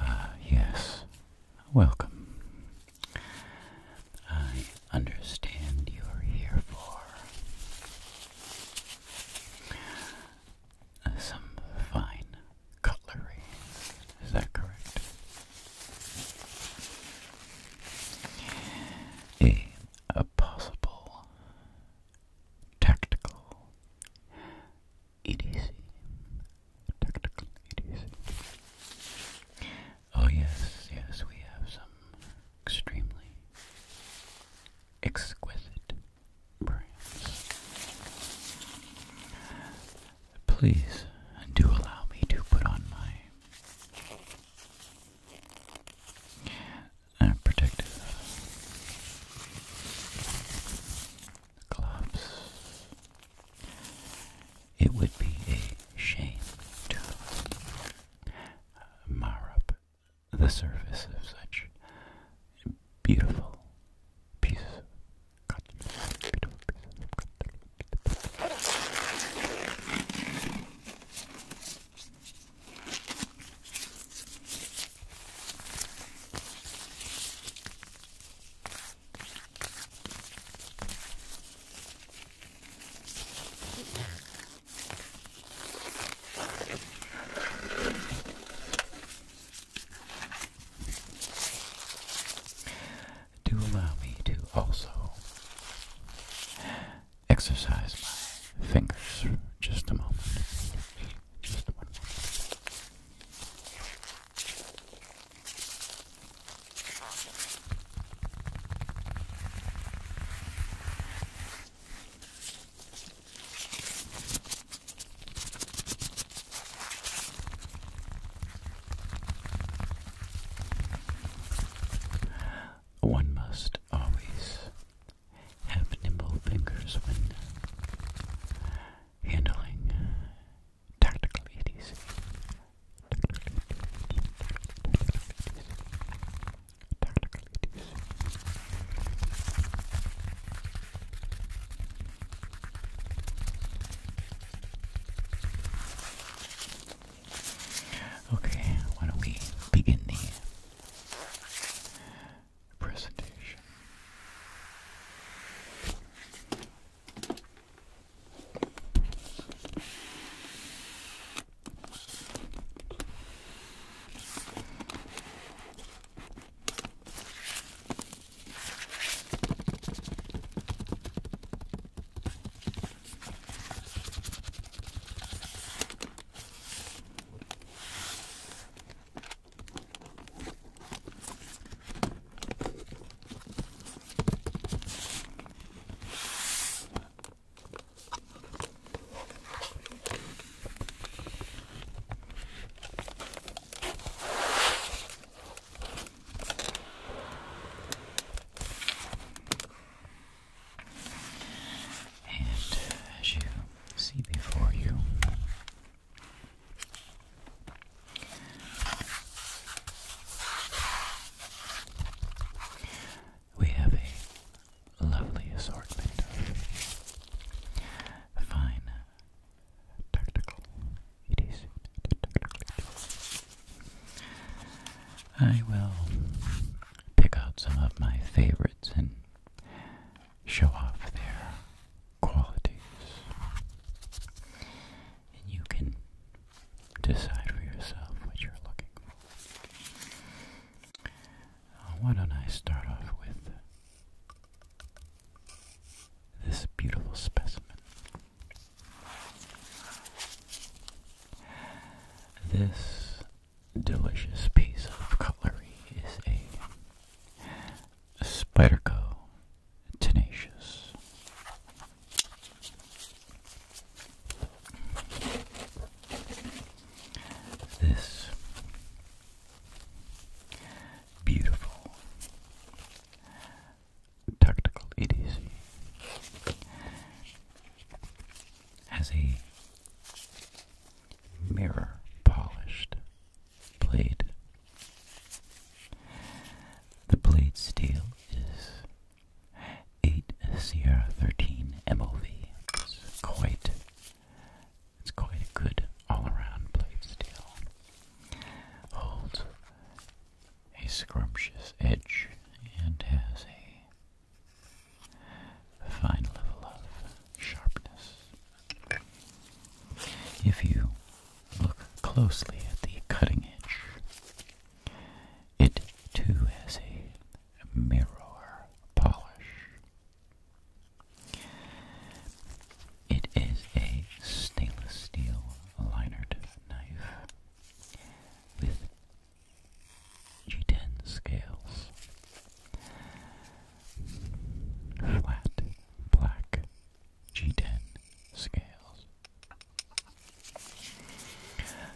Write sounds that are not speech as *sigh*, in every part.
Ah, yes. Welcome. I understand you're here for uh, some fine cutlery. Is a possible tactical EDC. Tactical EDC. Oh, yes, yes, we have some extremely exquisite brands. Please do allow me to put on my. Uh, protective gloves it would be a shame to mar up the surface of such beautiful pieces Beautiful pieces of do allow me to also exercise my fingers just a moment. Just one moment. One must always have nimble fingers when handling uh, tactical EDC. Okay, why don't we begin the presentation. And as you see before you, we have a lovely assortment of fine tactical. It is I will pick out some of my favorites and show off there qualities. And you can decide for yourself what you're looking for. Uh, why don't I start off with this beautiful specimen? This delicious piece of cutlery is a Spyderco Tenacious. This beautiful tactical EDC has a mirror polished blade. The blade steel is 8 Sierra 13 MOV. It's quite, it's quite a good all-around blade steel. Holds a scrumptious edge and has a fine level of sharpness. If you look closely at the cutting edge, it too has a mirror polish. It is a stainless steel linered knife with G10 scales flat black G10 scales.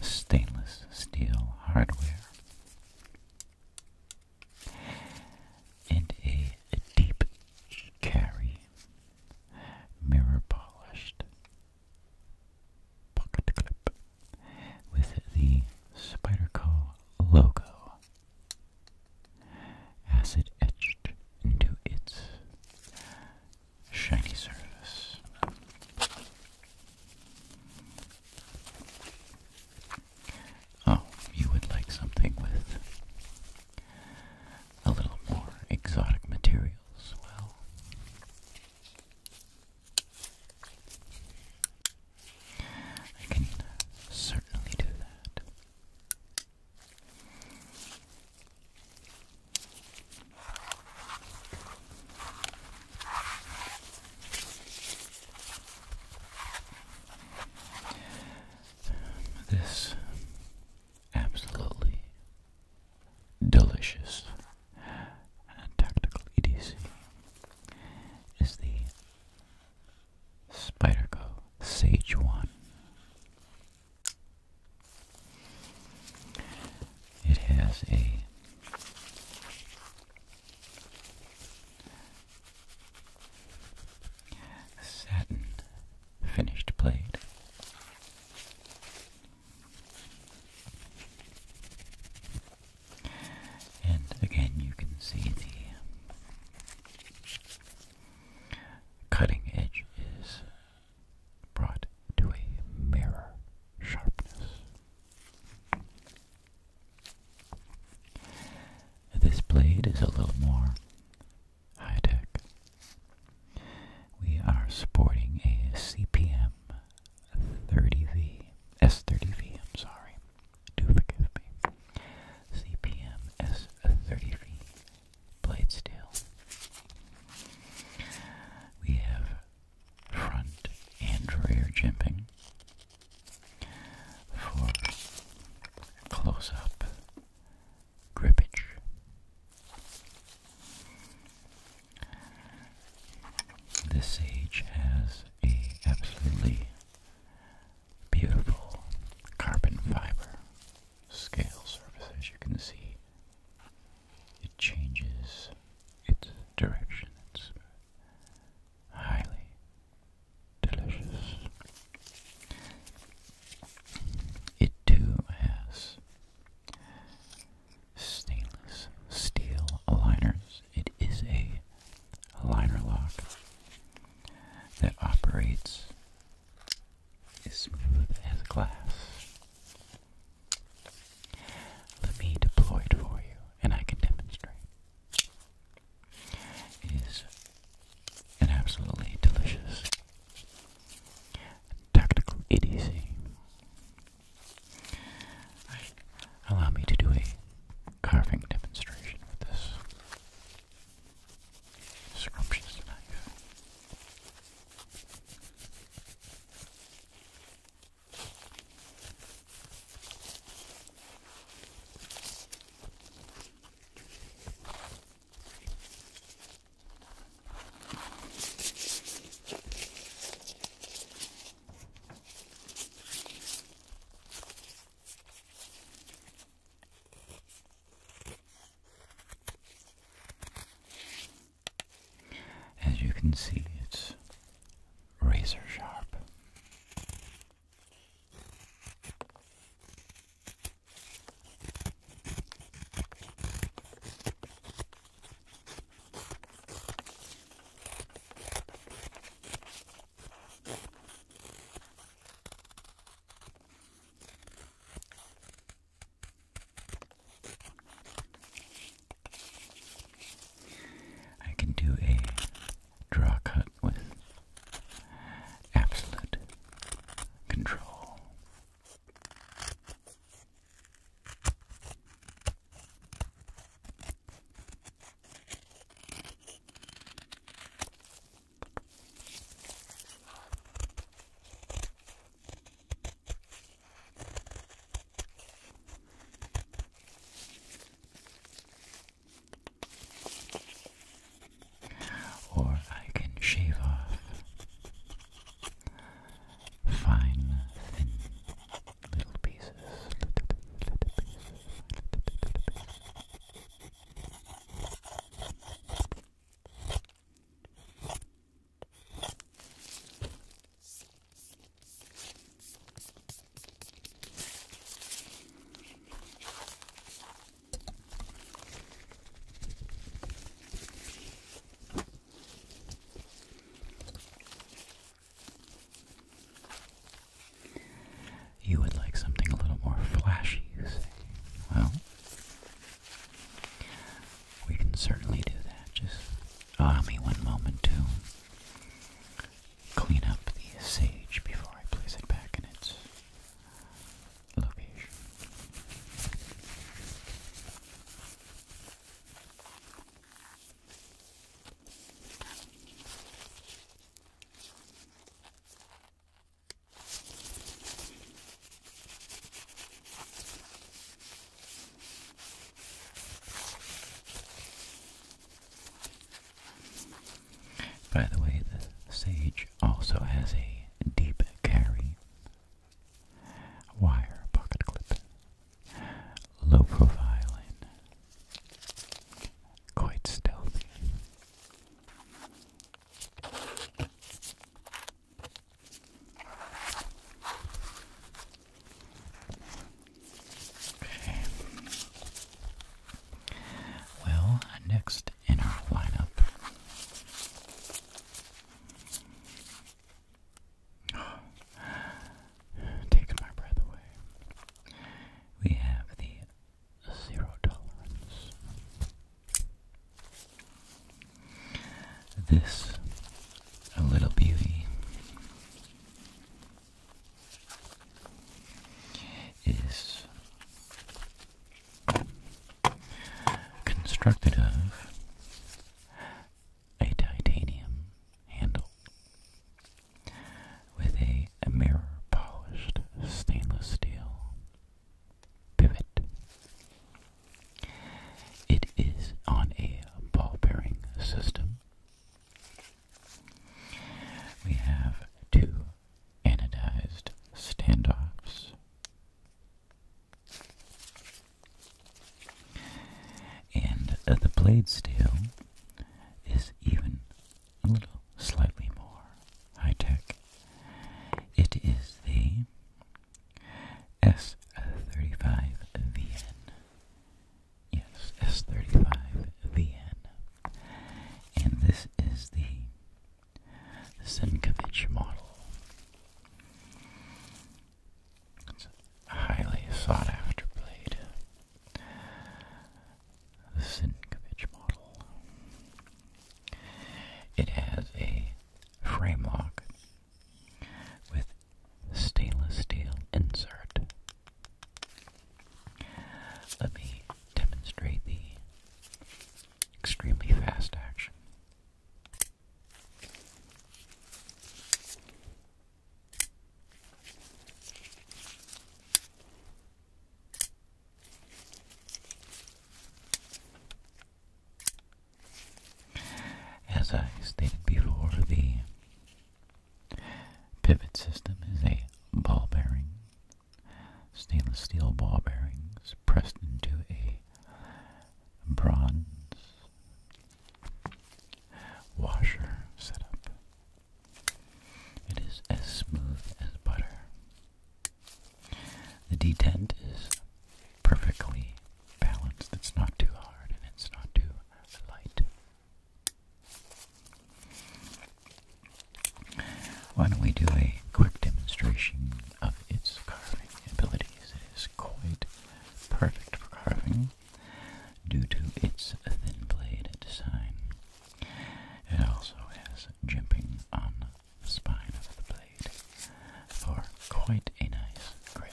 Stainless steel hardware. And a deep carry mirror polished pocket clip with the Spyderco logo acid etched into its shiny surface. Oh, you would like something with a little more exotic materials, well. I can certainly do that. Um, this absolutely delicious tactical EDC is the Spyderco Sage 1. It has a satin finished plate. And again, you can see the cutting edge is brought to a mirror sharpness. This blade is a little more high tech. We are sporting a CPM 30V, S30V, I'm sorry, do forgive me. CPM is thirty three feet, blade steel. We have front and rear jimping for close up gripage. This sage has a absolutely Beautiful carbon fiber scale surface, as you can see. It changes its direction. It's highly delicious. It too has stainless steel aligners. It is a a liner lock that operates as smooth as glass. Let me deploy it for you and I can demonstrate. It is an absolutely delicious tactical idiocy. Allow me to do a carving demonstration with this scrumptious knife. As you can see, it's razor sharp. I can do a draw cut with absolute control. Or I can shave off fine, thin little pieces, little, little pieces, little, little pieces. You would like something a little more flashy, you say? Well, we can certainly do that. Just allow me one moment to clean up the sage before I place it back in its location. By the way, the sage also has a deep carry wire pocket clip low profile and quite stealthy. Well, next in our lineup *gasps* Taking my breath away. We have the zero tolerance. This a little beauty is constructed of a titanium handle with a, mirror polished stainless steel pivot. It is on a ball bearing system. We have two anodized standoffs. And uh, the blade steel is even a little slightly more high tech. It is the S35VN. Yes, S35VN. And this is the Senkovich model a highly sought after blade. The Sinkovich model. It has a frame lock with stainless steel insert. Let me demonstrate the extremely fast action as I stated before, the pivot system is a ball bearing, stainless steel ball bearings pressed into a bronze washer setup. It is as smooth as butter. The detent is perfectly balanced. It's not too hard and it's not too light. Why don't we do a quick demonstration of its carving abilities? It is quite perfect for carving due to its thin blade design. It also has jimping on the spine of the blade for quite a nice grip.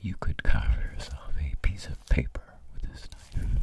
You could carve yourself a piece of paper with this knife.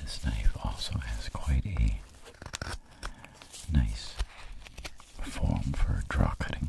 This knife also has quite a nice form for draw cutting.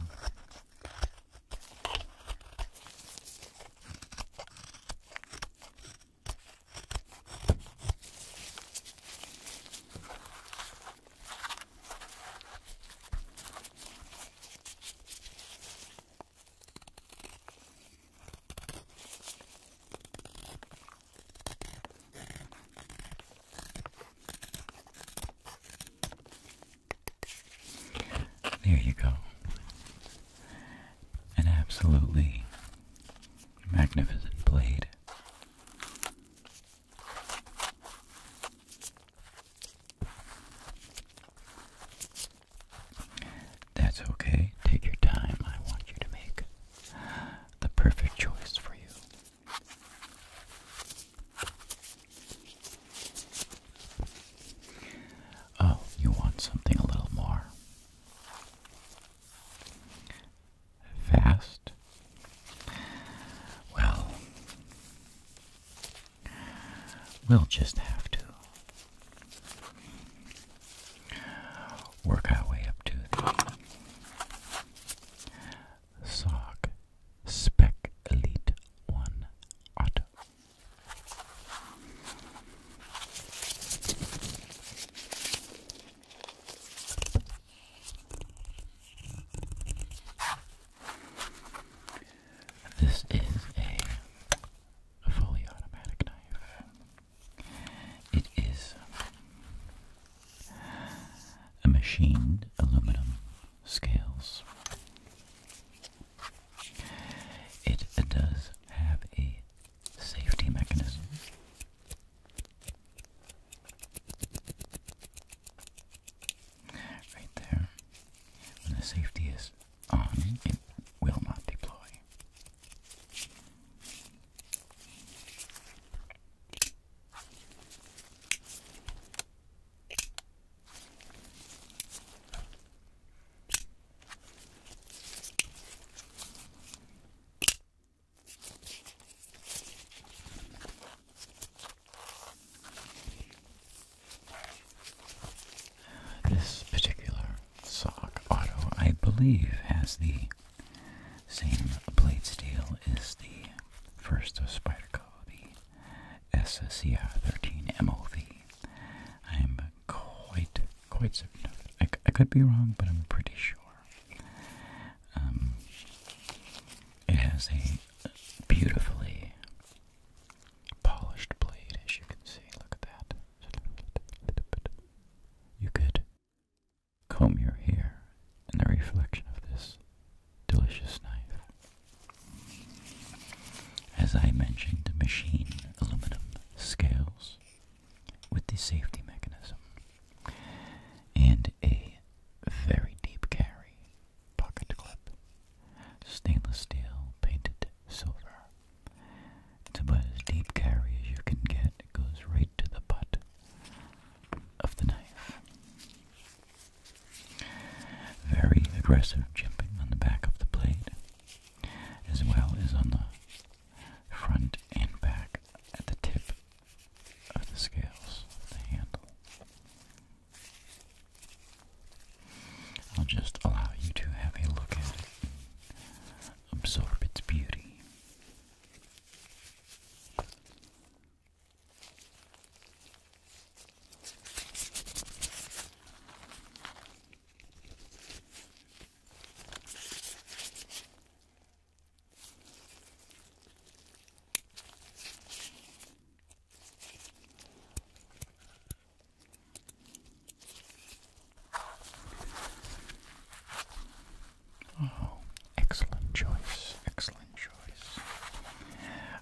There you go. An absolutely magnificent blade. That's okay. Take your time. I want you to make the perfect choice for you. Oh, you want something a little more fast? Well, we'll just have to work our way up to the Spec Elite 1 Auto. This is a fully automatic knife. It is a machined aluminum scales. It does have a safety mechanism. Right there. When the safety is on, it will not deploy. This particular Sock Auto, I believe, has the same blade steel as the first of Spyderco, the SSCR 13 MOV. I'm quite, quite certain of it. I, I could be wrong, but I'm pretty sure. Um, it has a beautifully polished blade, as you can see. Look at that. You could comb your hair in the reflection of this delicious knife. As I mentioned, machine aluminum scales with the safety mechanism and a very deep carry pocket clip. Stainless steel painted silver it's about as deep carry as you can get. It goes right to the butt of the knife. Very aggressive chipping on the back of the blade, as well as on the front and back at the tip of the scales of the handle. I'll just allow you to have a look at it absorb its beauty. Oh, excellent choice, excellent choice.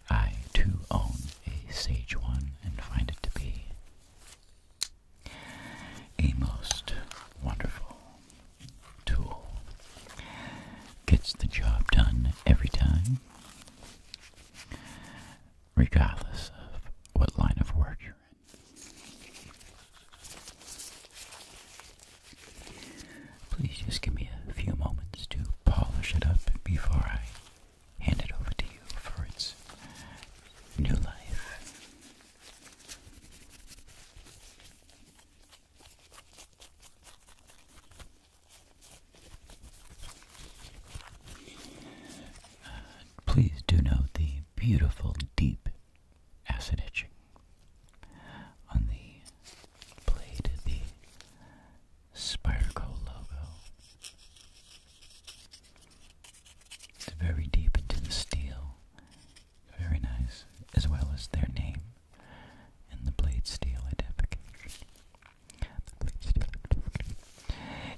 I too own a Sage one and find it to be a most wonderful tool. Gets the job done every time, regardless of what line of work Please just give me a few moments to polish it up before I hand it over to you for its new life. Please do note the beautiful deep acid etching on the blade of the Spyroco logo. It's very deep into the steel. Very nice, as well as their name and the blade steel identification.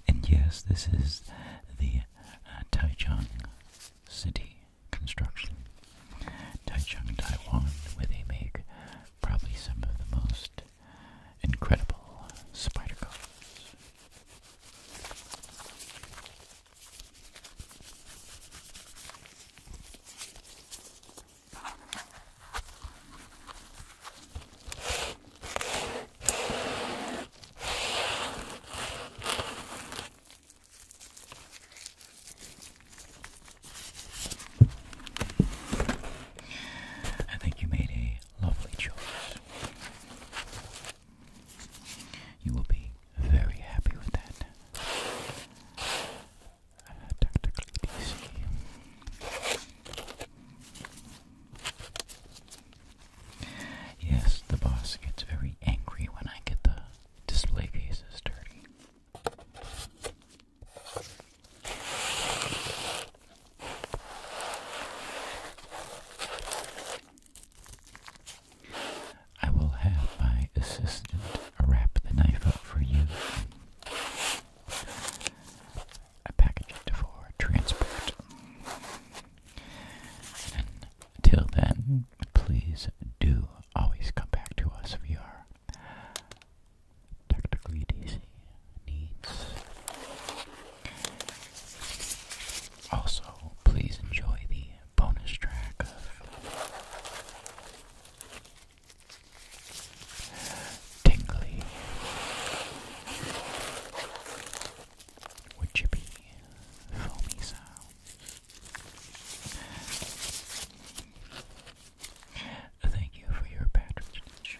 And yes, this is the uh, Taichung City construction. Taichung, Taiwan, where they make probably some of the most incredible spider cars. I think you made a lovely choice. You will be very happy with that. Uh, tactically Yes, the boss gets very angry when I get the display cases dirty. I will have my assistant wrap the knife up for you a package for transport. And till then, please do always come back to us if are technically DC needs. Also, please enjoy the bonus track tingly would you be foamy sounds? Thank you for your patronage.